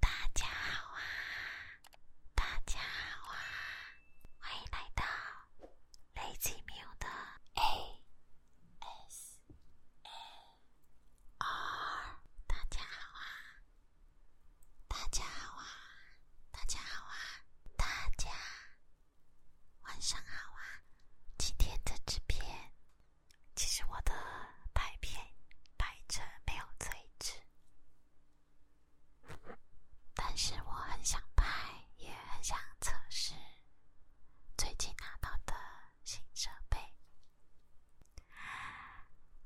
大家好啊！大家好啊！欢迎来到雷奇妙的 A S 大家好啊！大家好啊！大家好啊！大家晚上好啊！今天的制片。其实我的拍片拍着没有最值，但是我很想拍，也很想测试最近拿到的新设备。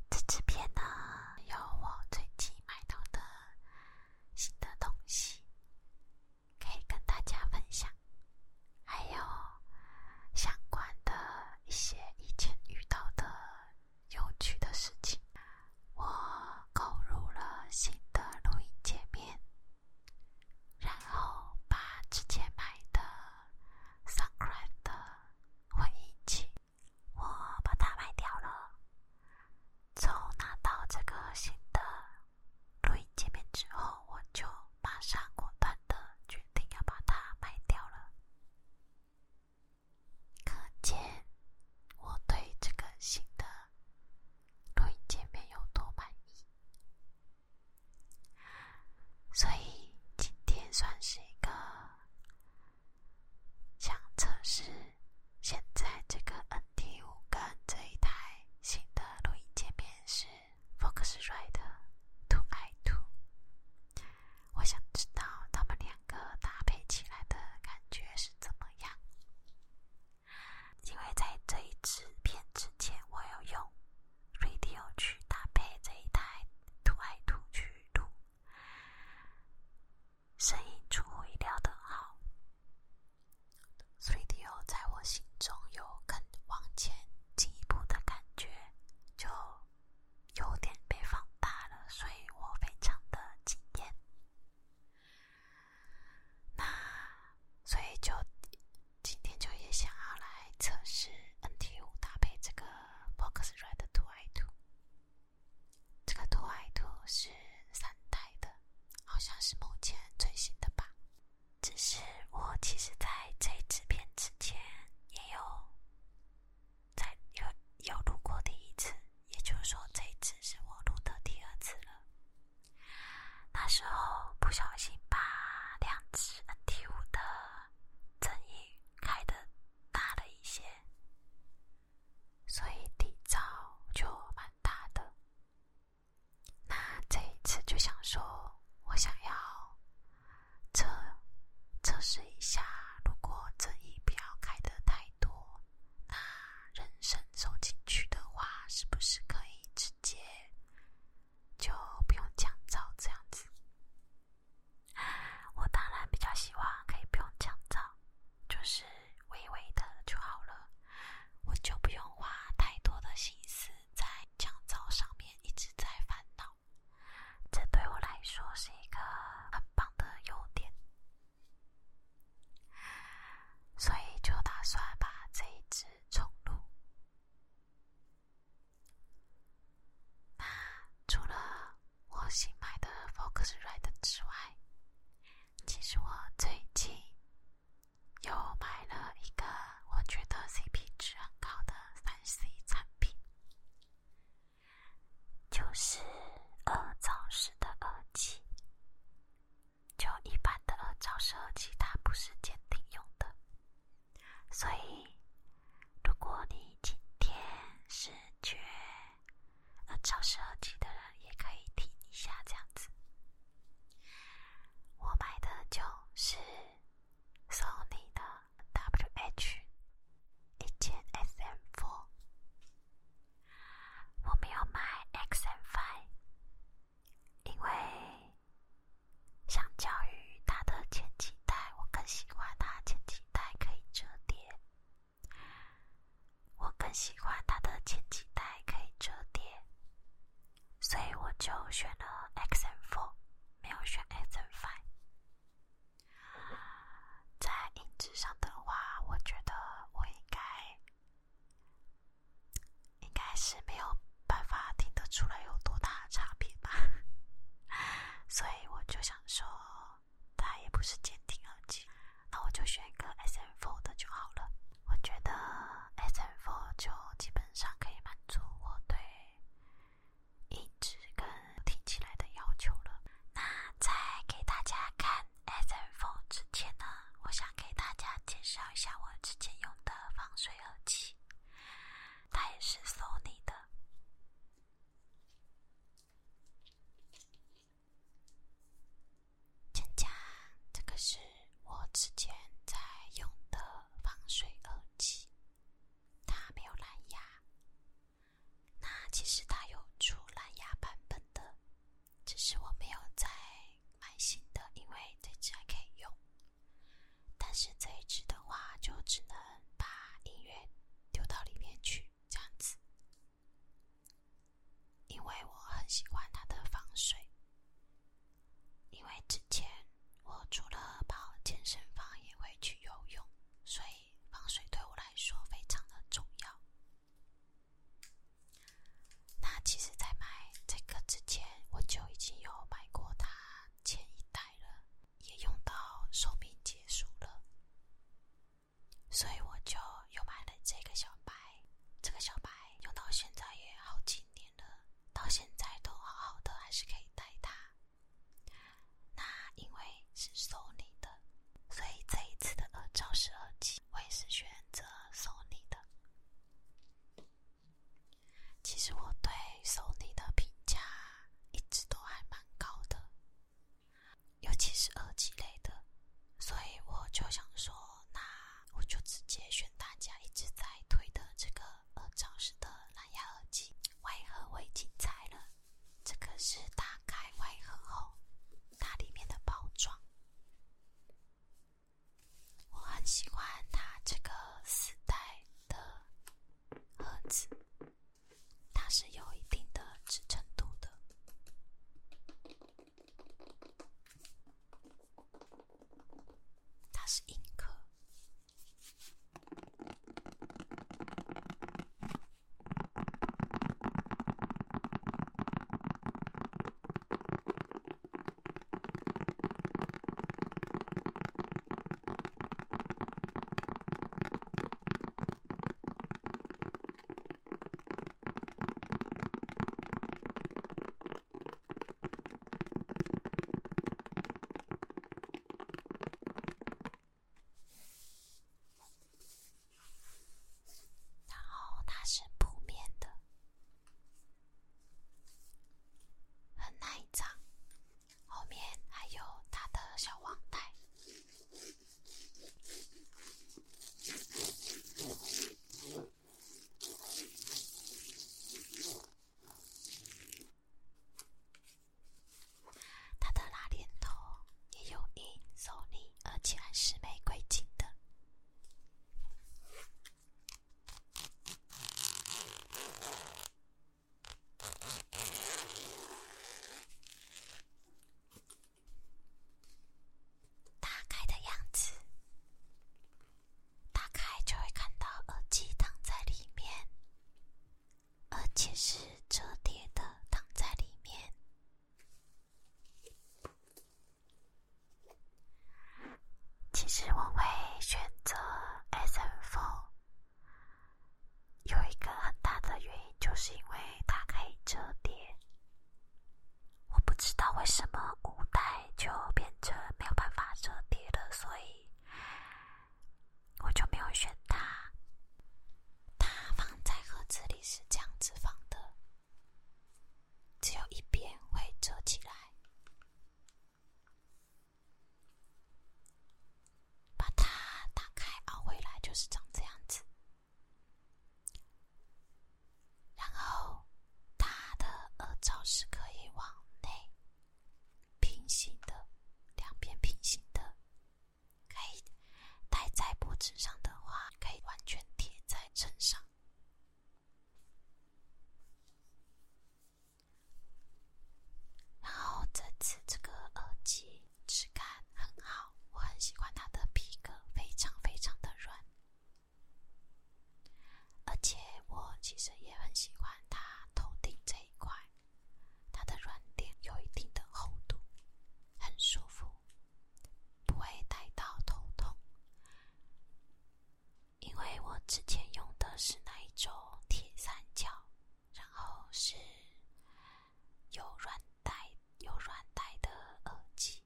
这支片呢，有我最近买到的新的东西。可以跟大家分享，还有相关的一些以前遇到的有趣的事情。我购入了新的录音界面，然后把之前买的 Sakura 的混音器，我把它卖掉了，从拿到这个新的。录音界面之后，我就马上果断的决定要把它卖掉了。可见我对这个新的录音界面有多满意。所以今天算是一个想测试现在这个 NT 五跟这一台新的录音界面是。Focusrite Two I t o 我想知道它们两个搭配起来的感觉是怎么样。因为在这一支片之前，我有用 r a d i o 去搭配这一台 Two I t o 去录，声音出乎意料的好。3D O 在我心中有更往前进一步的感觉，就有点被放大了，所以我非常的惊艳。那所以就今天就也想要来测试 NT 五搭配这个 b o x r i t e 图 I t 这个图 I t 是三代的，好像是目前最新的吧。只是我其实在这支片之前也有在有有录过第一次，也就是说这次是我录的第二次了。那时候不小心把两只 N T 五的增益开的大了一些，所以底噪就蛮大的。那这一次就想说，我想要测测试一下，如果争议不要开的太多，那人生收进去的话，是不是可以直接就不用降噪这样子？我当然比较希望可以不用降噪，就是微微的就好了，我就不用花太多的心思。在降噪上面一直在烦恼，这对我来说是一个很棒的优点，所以就打算把这一支重入。那除了我新买的 Focus Red 之外，其实我最近。又买了一个我觉得 CP 值很高的三 C 产品，就是耳罩式的耳机。就一般的耳罩式耳机，它不是监定用的，所以如果你今天是缺耳罩式耳机的人，也可以听一下这样子。我买的就，是索尼的 WH 一千 SM Four。我没有买 XM Five，因为相较于它的前几代，我更喜欢它前几代可以折叠。我更喜欢它的前几代可以折叠。所以我就选了 x Four，没有选 x Five。在音质上的话，我觉得我应该应该是没有办法听得出来有多大差别吧。所以我就想说，它也不是监听耳机，那我就选一个 x u r 的就好了。我觉得 S f o 就基本上可以满足我对音质跟听起来的要求了。那在给大家看 S f o 之前呢，我想给大家介绍一下我之前用的防水耳机，它也是索尼的。强强，这个是我之前在用的防水耳机，它没有蓝牙。那其实它有出蓝牙版本的，只是我没有在买新的，因为这支还可以用。但是这一支的话，就只能把音乐丢到里面去这样子，因为我很喜欢它的防水。因为之前我除了跑健身房，也会去游泳，所以防水对我来说非常的重要。那其实，在买这个之前，我就已经有买过它前一代了，也用到寿命结束了，所以我就又买了这个小白。这个小白用到现在也好几年了，到现在都好好的，还是可以戴它。那因为是索尼的，所以这一次的耳罩式耳机，我也是选择索尼的。其实我对索尼的评价一直都还蛮高的，尤其是耳机类的。所以我就想说，那我就直接选大家一直在推的这个耳罩式的蓝牙耳机。外盒我已经拆了，这个是打开外盒后它里面的包装。我很喜欢它这个丝带的盒子，它是有一定的支撑度的。它是硬壳。然后它是布面的，很耐脏，后面还有它的小网袋。它的拉链头也有银手链，而且还是玫瑰金的。打开的样子，打开就会看到耳机躺在里面，而且是折叠的躺在里面。其实我会选择 S M r o d s 有一个很大的原因，就是因为它可以折叠。我不知道为什么五代就变成没有办法折叠了，所以我就没有选它。它放在盒子里是这样子放的，只有一边会折起来，把它打开凹回来就是长这样子。然后，它的耳罩是可以往内平行的，两边平行的，可以戴在脖子上的话，可以完全贴在身上。然后这次这个耳机质感很好，我很喜欢它的皮革，非常非常的软。而且我其实也很喜欢它头顶这一块，它的软垫有一定的厚度，很舒服，不会带到头痛。因为我之前用的是那一种铁三角，然后是有软带、有软带的耳机。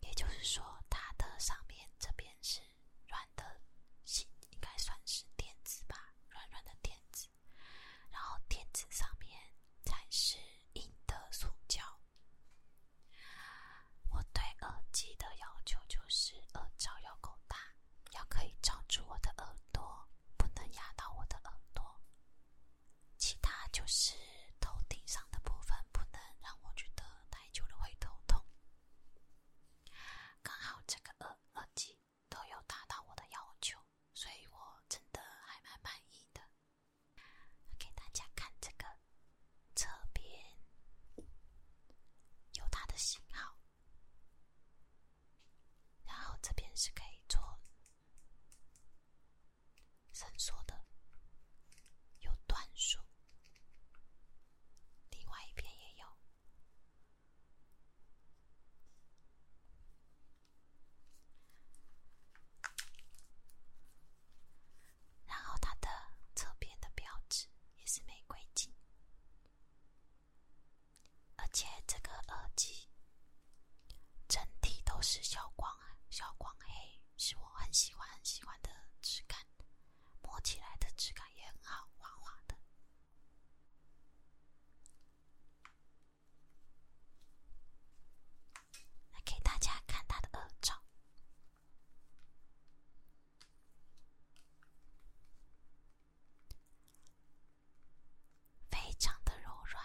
也就是说，它的上面这边是软的，是应该算是垫子吧，软软的垫子。然后垫子上面才是硬的塑胶。我对耳机的要求就是耳罩要够大，要可以罩住我的耳朵，不能压到我的耳朵。其他就是头顶上的部分。不能让我觉得太久了会头痛。刚好这个耳机都有达到我的要求，所以我真的还蛮满意的。给大家看这个侧边，有它的型号，然后这边是可以做。伸缩的有段数，另外一边也有。然后它的侧边的标志也是玫瑰金，而且这个耳机整体都是小光小光黑。是我很喜欢很喜欢的质感，摸起来的质感也很好，滑滑的。来给大家看它的耳罩，非常的柔软。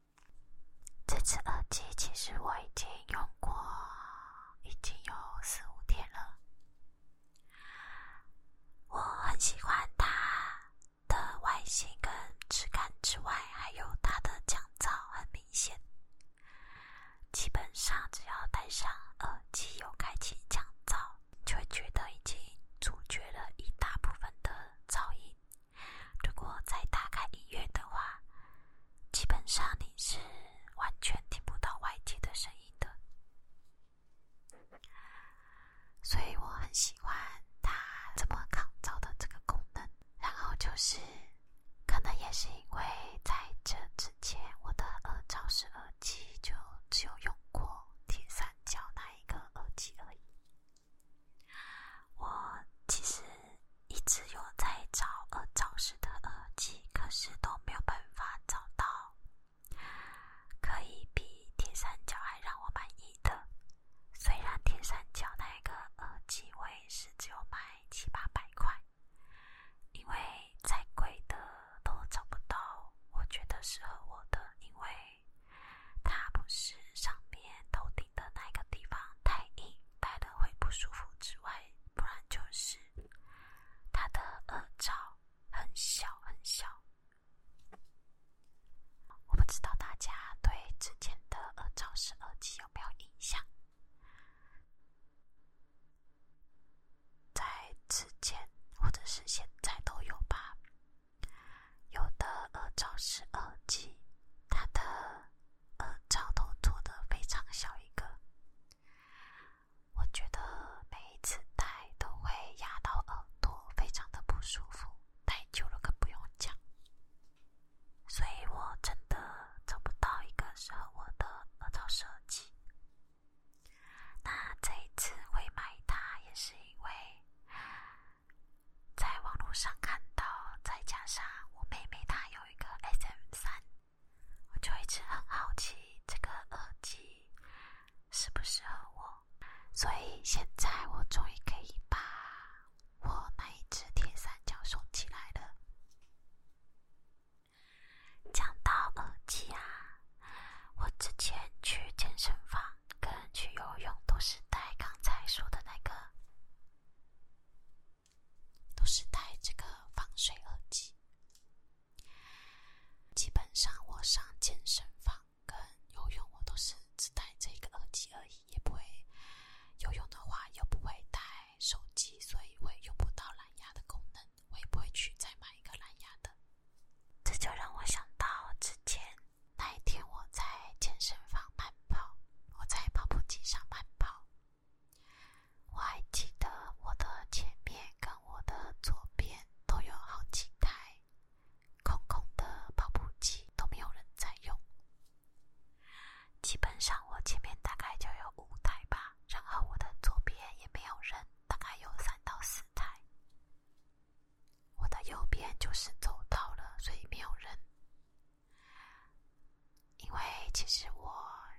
这只耳机其实我已经用过，已经有四五天了。我很喜欢它的外形跟质感之外，还有它的降噪很明显。基本上只要戴上耳机，有开启降噪，就会觉得已经阻绝了一大部分的噪音。如果再打开音乐的话，基本上你是完全听不到外界的声音的。所以我很喜欢它这么抗噪的这个功能。然后就是，可能也是因为在这之前，我的耳罩式耳机就只有用过铁三角那一个耳机而已。我其实一直有在找耳罩式的耳机，可是都没有办法找到可以比铁三角还让我满意的。虽然铁三角那个耳机也是只有卖七八百块，因为再贵的都找不到我觉得适合我的，因为。它不是上面头顶的那个地方太硬，戴了会不舒服之外，不然就是它的耳罩很小很小。我不知道大家对之前的耳罩式耳机有没有印象，在之前或者是现在都有吧。有的耳罩是耳机，它的耳罩都做的非常小一个，我觉得每一次戴都会压到耳朵，非常的不舒服，戴久了更不用讲。所以我真的找不到一个适合我的耳罩设计。那这一次会买它，也是因为。在网络上看到，再加上我妹妹她有一个 SM 三，我就一直很好奇这个耳机适不适合我，所以现在我终于可以把我那一只铁三角收起来了。讲到耳机啊，我之前去健身房。跟去游泳都是带刚才说的那个，都是带这个防水耳机。基本上我上健身房跟游泳，我都是只带这个耳机而已，也不会游泳的话又不会带手机，所以我也用不到蓝牙的功能，我也不会去再买一个蓝牙的。这就让我想到之前。那一天，我在健身房慢跑，我在跑步机上慢跑。我还记得我的前面跟我的左边都有好几台空空的跑步机，都没有人在用。基本上，我前面大概就有五台吧，然后我的左边也没有人，大概有三到四台。我的右边就是走到了，所以没有人。因为其实我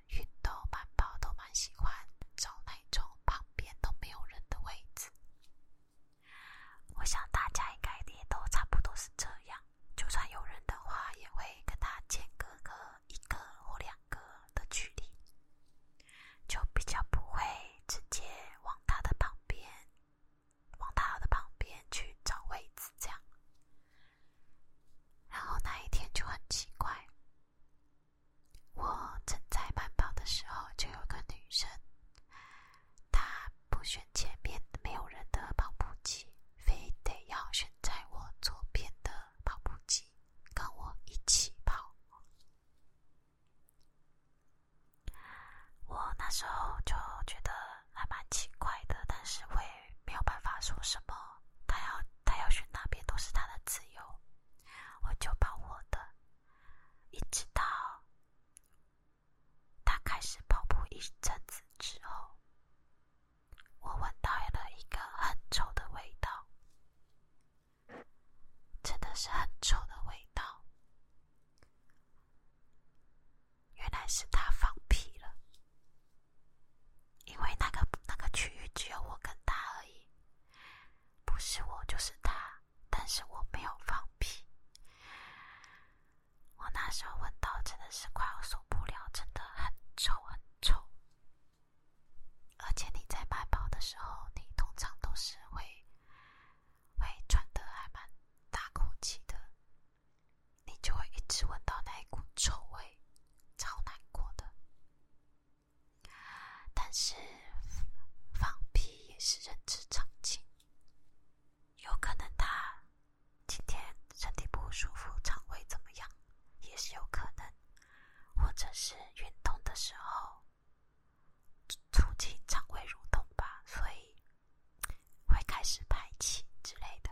运动慢跑都蛮喜欢找那种旁边都没有人的位置。我想大家应该也都差不多是这样，就算有人的话，也会跟他间隔个一个或两个的距离，就比较不会直接往他的旁边。往他的旁边去找位置，这样。然后那一天就很奇怪，我正在慢跑的时候，就有个女生，她不选前面没有人的跑步机，非得要选在我左边的跑步机，跟我一起跑。我那时候就觉得还蛮奇怪的，但是我也没有办法说什么。他要他要去那边都是他的自由，我就把我的。一直到他开始跑步一阵子之后，我闻到了一个很臭的味道，真的是很臭的味道。原来是他放屁了，因为那个那个区域只有我跟他而已，不是我就是他，但是我没有放屁。我那时候闻到，真的是快要受不了，真的很臭，很臭。而且你在慢包的时候，你通常都是会。会喘的还蛮大口气的，你就会一直闻到那一股臭味，超难过的。但是放屁也是人之常情，有可能他今天身体不舒服，肠胃怎么样，也是有可能，或者是运动的时候。促进肠胃蠕动吧，所以会开始排气之类的。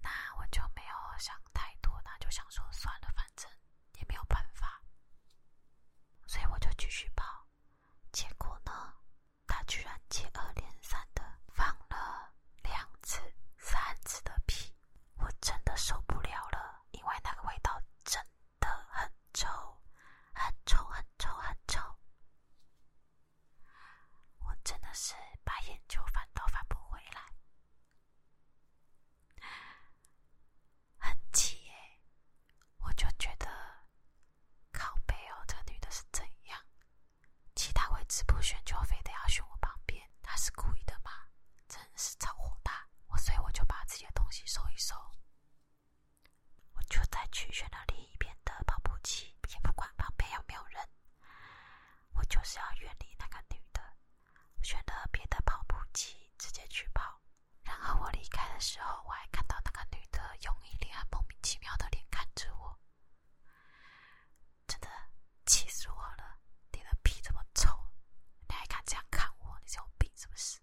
那我就没有想太多，那就想说算了，反正也没有办法，所以我就继续泡。结果呢，他居然接二连三的放了两次、三次的屁，我真的受不了了，因为那个味道真……的很臭，很臭，很臭，很臭。我真的是把眼球翻都翻不回来，很气耶！我就觉得，靠背哦，这个女的是怎样？其他位置不选就非得要选我旁边，她是故意的吗？真是超火大！我所以我就把自己的东西收一收。我就再去选了另一边的跑步机，也不管旁边有没有人，我就是要远离那个女的，选了别的跑步机直接去跑。然后我离开的时候，我还看到那个女的用一脸很莫名其妙的脸看着我，真的气死我了！你的屁这么臭，你还敢这样看我？你有病是不是？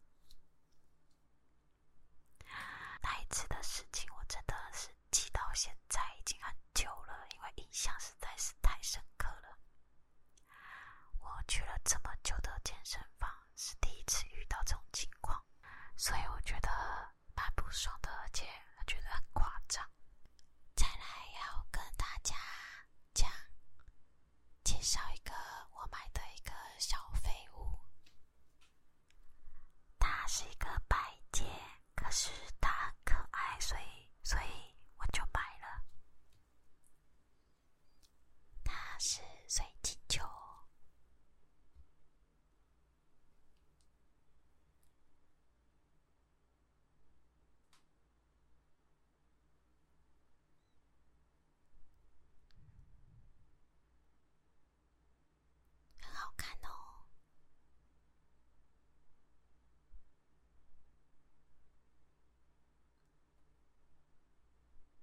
那一次的事情，我真的是记到现在已经很久了，因为印象实在是太深刻了。我去了这么久的健身房，是第一次遇到这种情况，所以我觉得蛮不爽的，而且觉得很夸张。再来要跟大家讲。介绍一个我买的一个小废物，它是一个摆件，可是它可爱，所以所以我就买了。它是水晶球。很好看哦！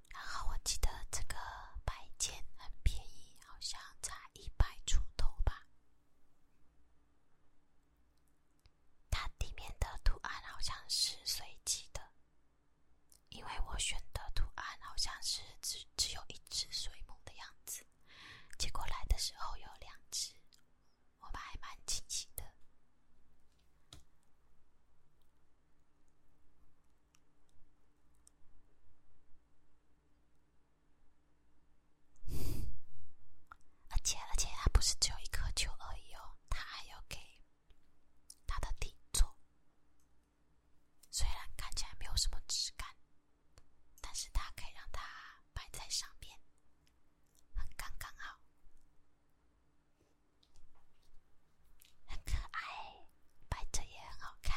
然后我记得这个摆件很便宜，好像才一百出头吧。它里面的图案好像是随机的。因为我选的图案好像是只只有一只水母的样子，结果来的时候有两只，我们还蛮惊喜的。而且而且，它不是只有一颗球而已哦，它还有给。它的底座虽然看起来没有什么质感，但是它可以让它摆在上面，很刚刚好，很可爱，摆着也很好看。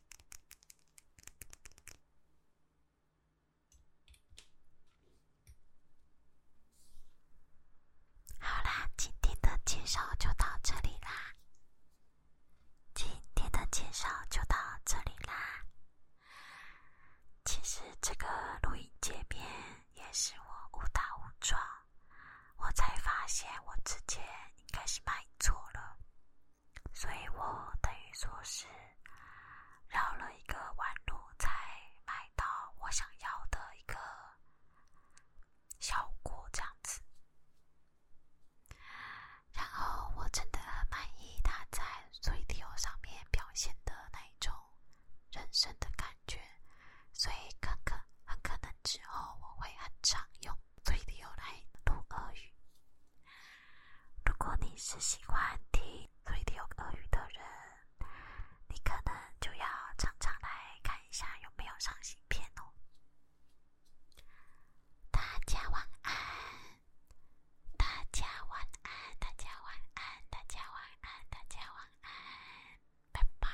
好啦，今天的介绍就到这里啦。其实这个录音界面也是我误打误撞。我才发现我之前应该是买错了，所以我等于说是绕了一个弯路才买到我想要的一个效果这样子。然后我真的很满意它在 C T O 上面表现的那种人生的感觉，所以可可很可能之后我会很常用。所以得要来懂俄语。如果你是喜欢听所以有俄语的人，你可能就要常常来看一下有没有上新片哦。大家晚安，大家晚安，大家晚安，大家晚安，大家晚安，拜拜。